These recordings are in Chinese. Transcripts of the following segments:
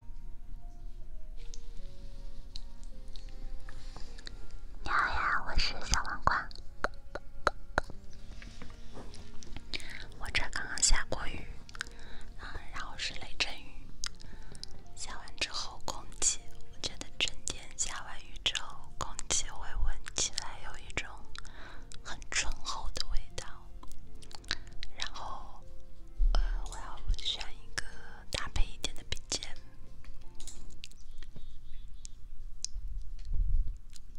你好呀，我是小王冠。我这刚刚下过雨，啊，然后是雷阵雨。下完之后，空气我觉得真甜。下完雨之后，空气会闻起来有一种很醇厚的味道。然后，呃，我要选一个搭配一点的 BGM。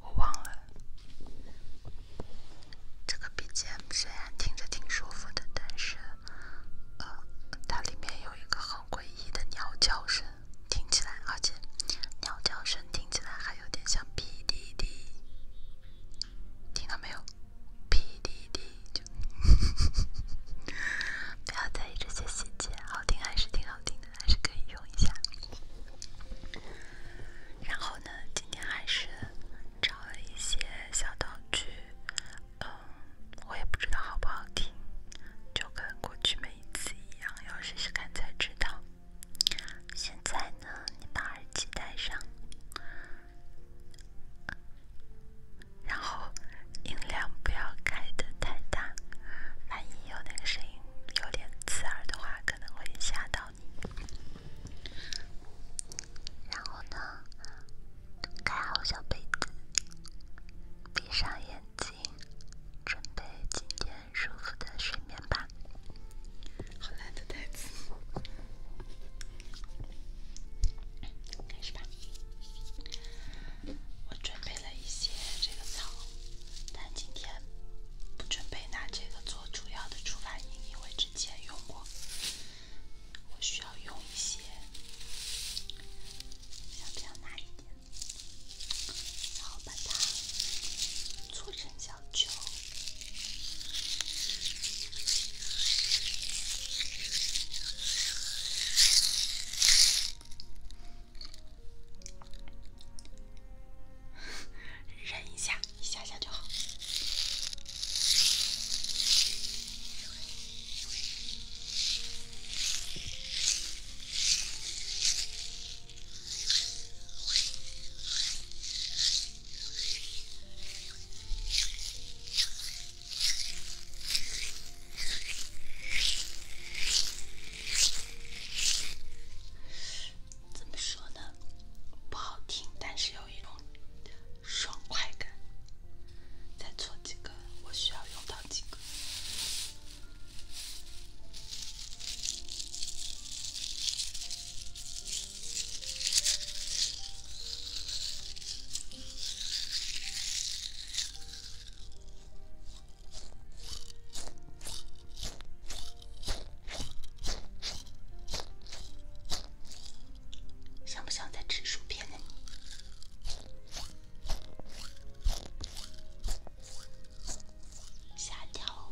我忘了。这个 BGM 虽然听着挺舒服的，但是，呃，它里面有一个很诡异的鸟叫声，听起来，而且鸟叫声听起来还有点像哔滴滴，听到没有？PDD，就 不要在意这些细节，好听还是挺好听的，还是可以用一下。然后呢，今天还是找了一些小道具，嗯，我也不知道好不好听，就跟过去每一次一样，要试试看才知道。现在呢，你把耳机戴上。然后音量不要开的太大，万一有那声音有点刺耳的话，可能会吓到你。然后呢，盖好小被子，闭上眼睛，准备今天舒服的睡眠吧。好难的袋子开始吧。我准备了一些这个草，但今天不准备拿这个做主要的出发音，因为之前用过。我需要用一些，像这样拿一点，然后把它搓成小球。忍一下，一下下就好。怎么说呢？不好听，但是有一种爽快感。再做几个，我需要用到几个。像不像在吃薯片的下一条。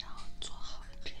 然后做好这样。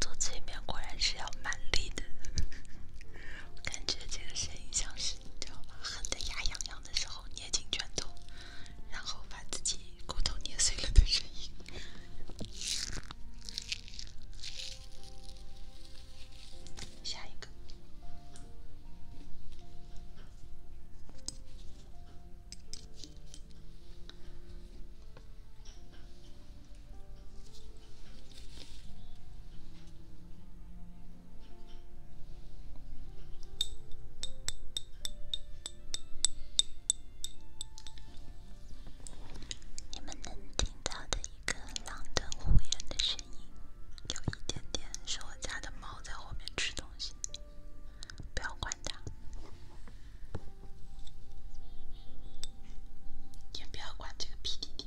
做催眠果然是要蛮力的，感觉这个声音像是你知道吗？恨得牙痒痒的时候捏紧拳头，然后把自己骨头捏碎了的声音。下一个，你们能听到的。一个狼吞虎咽的声音，有一点点是我家的猫在后面吃东西，不要管它，也不要管这个屁弟弟。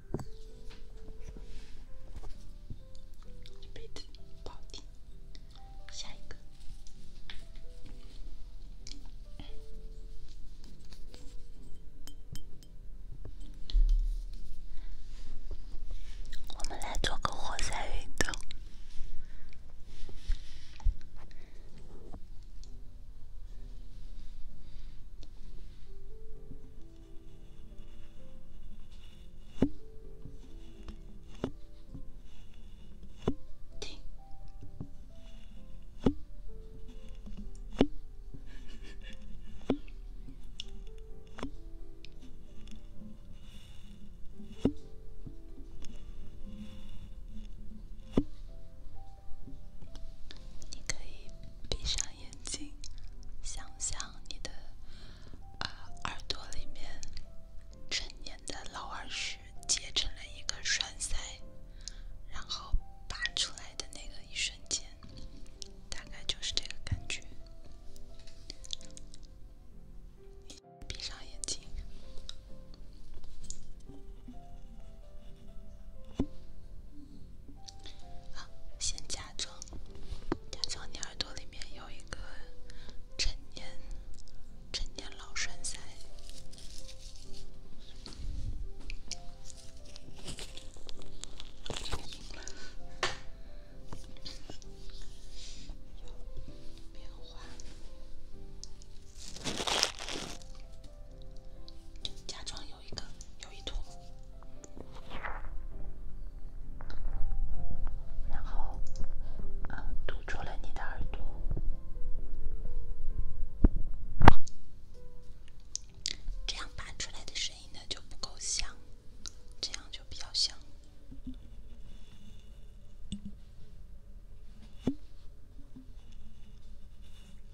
杯子，保定，下一个。我们来做个活塞运动。你可以闭上眼。眼睛，想象你的耳朵里面成年的老耳屎结成了一个栓塞，然后拔出来的那个一瞬间，大概就是这个感觉。闭上眼睛。好，先假装，假装你耳朵里面有一个陈年、陈年老栓塞。有一个，有一坨，然后啊，堵住了你的耳朵，这样发出来的声音呢就不够响，这样就比较响。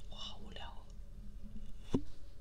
我好无聊哦。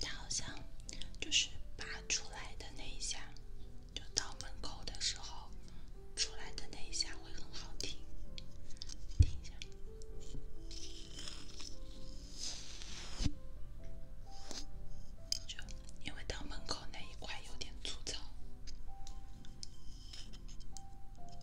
它好像就是拔出来的那一下，就到门口的时候出来的那一下会很好听，听一下。就因为到门口那一块有点粗糙。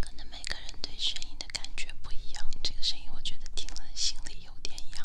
可能每个人对声音的感觉不一样，这个声音我觉得听了心里有点痒。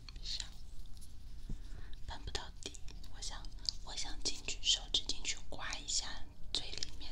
上，翻不到底，我想，我想进去，手指进去刮一下最里面。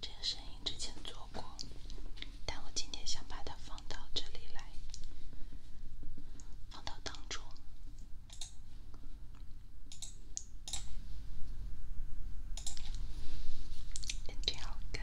这个声音之前做过。但我今天想把它放到这里来，放到当中。眼好干。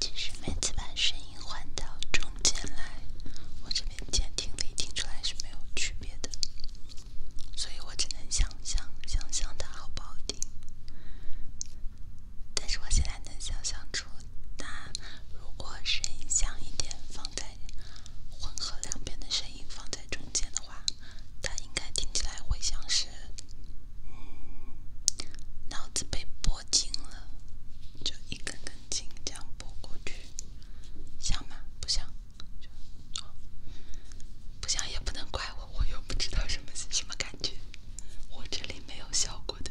其实每次把声音换到中间来，我这边监听里听出来是没有区别的，所以我只能想想想想的好保定。但是我现在能想象出，它如果声音响一点放。在混合两边的声音放在中间的话，它应该听起来会像是，嗯，脑子被拨筋了，就一根根筋这样拨过去，像吗？不像，不像也不能怪我，我又不知道什么什么感觉，我这里没有效果的。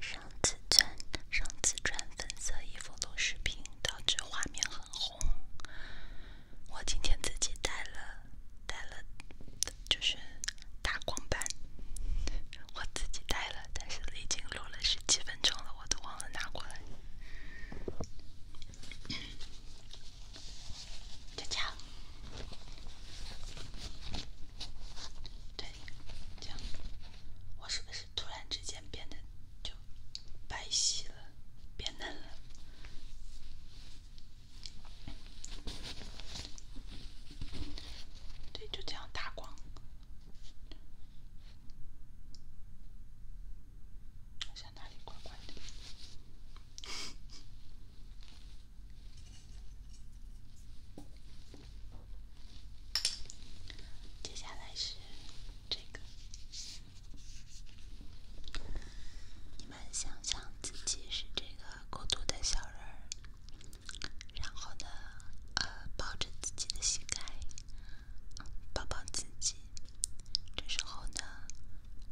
上次穿上次穿粉色衣服做视频，道具画面很红。我今天自己带了带了，就是大光板。我自己带了，但是已经录了十几分钟了，我都忘了拿过来。对，这样，我是不是突然之间变得就白皙了，变嫩了？对，就这样打光，先打点光光的。接下来是这个，你们想象自己是这个孤独的小人然后呢，呃，抱着自己的膝盖，抱抱自己。这时候呢，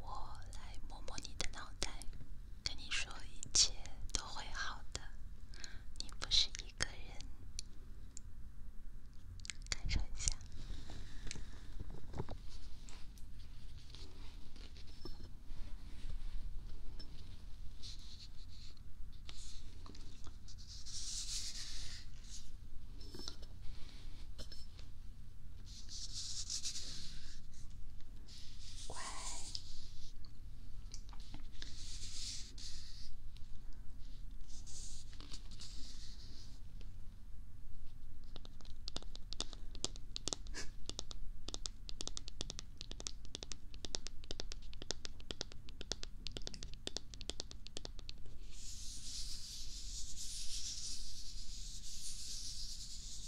我来摸摸你的脑袋。跟你说，一切都会好的，你不是一个人。感受一下。乖。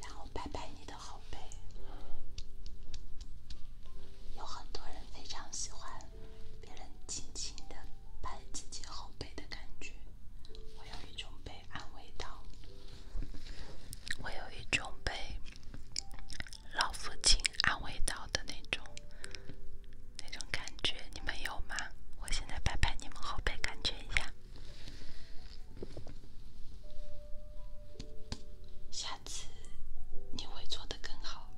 然后拍拍你的后背，有很多人非常喜欢别人轻轻的。拍自己后背的感觉，我有一种被安慰到，我有一种被老父亲安慰到的那种那种感觉，你们有吗？我现在拍拍你们后背，感觉一下。下次你会做的更好。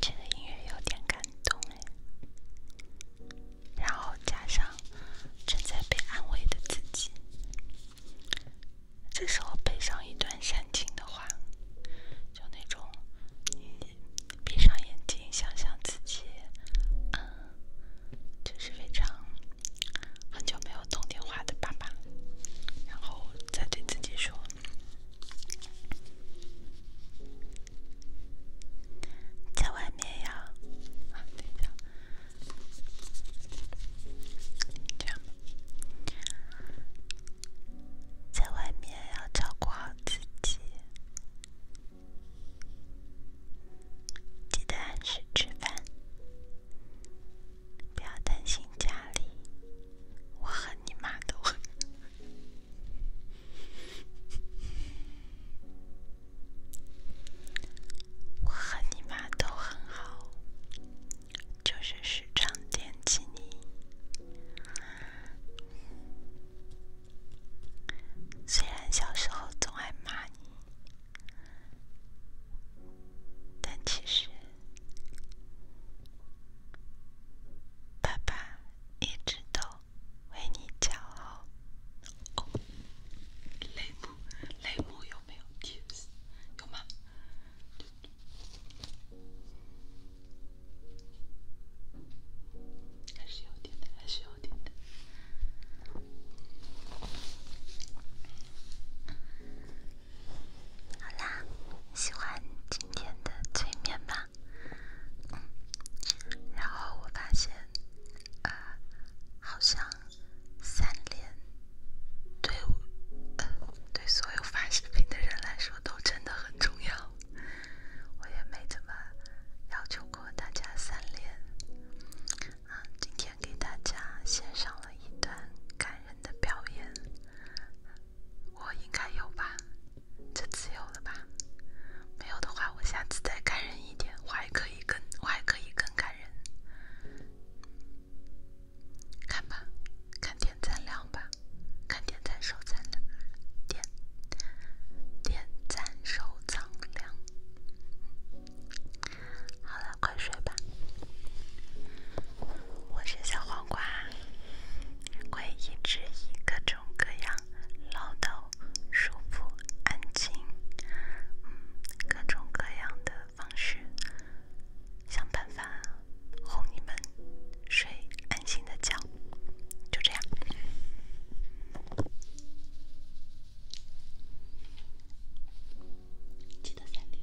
这个音乐有点感动哎，然后加上正在被安慰的自己，这时候配上一段煽情的话，就那种你闭上眼睛想想自己，嗯，就是非常很久没有通电话的爸爸，然后再对自己说。在外面要……啊，等一下。这样吧，在外面要照顾好自己，记得按时吃饭，不要担心家里。我和你妈都。我和你妈都很好，就是时常惦记你。虽然小时候总爱骂你，但其实……爸爸一直都为你骄傲。雷姆，雷姆有没有？有吗？还是有点的，还是有点的。好啦，喜欢今天的催眠吗？然后我发现，呃，好像三连对对所有发视频的人来说都真的很重要。我也没怎么要求过大家三连啊，今天给大家献上了一段感人的表演。我应该有吧，这次有了吧？没有的话，我下次再感人一点，我还可以更，我还可以更感人。看吧，看点赞量吧，看点赞收藏量，点点赞收藏量。好了，快睡吧。我是小黄瓜，会一直以各种各样唠叨、舒服、安静、嗯，各种各样的方式，想办法哄你们睡安心的觉，就这样。记得三点。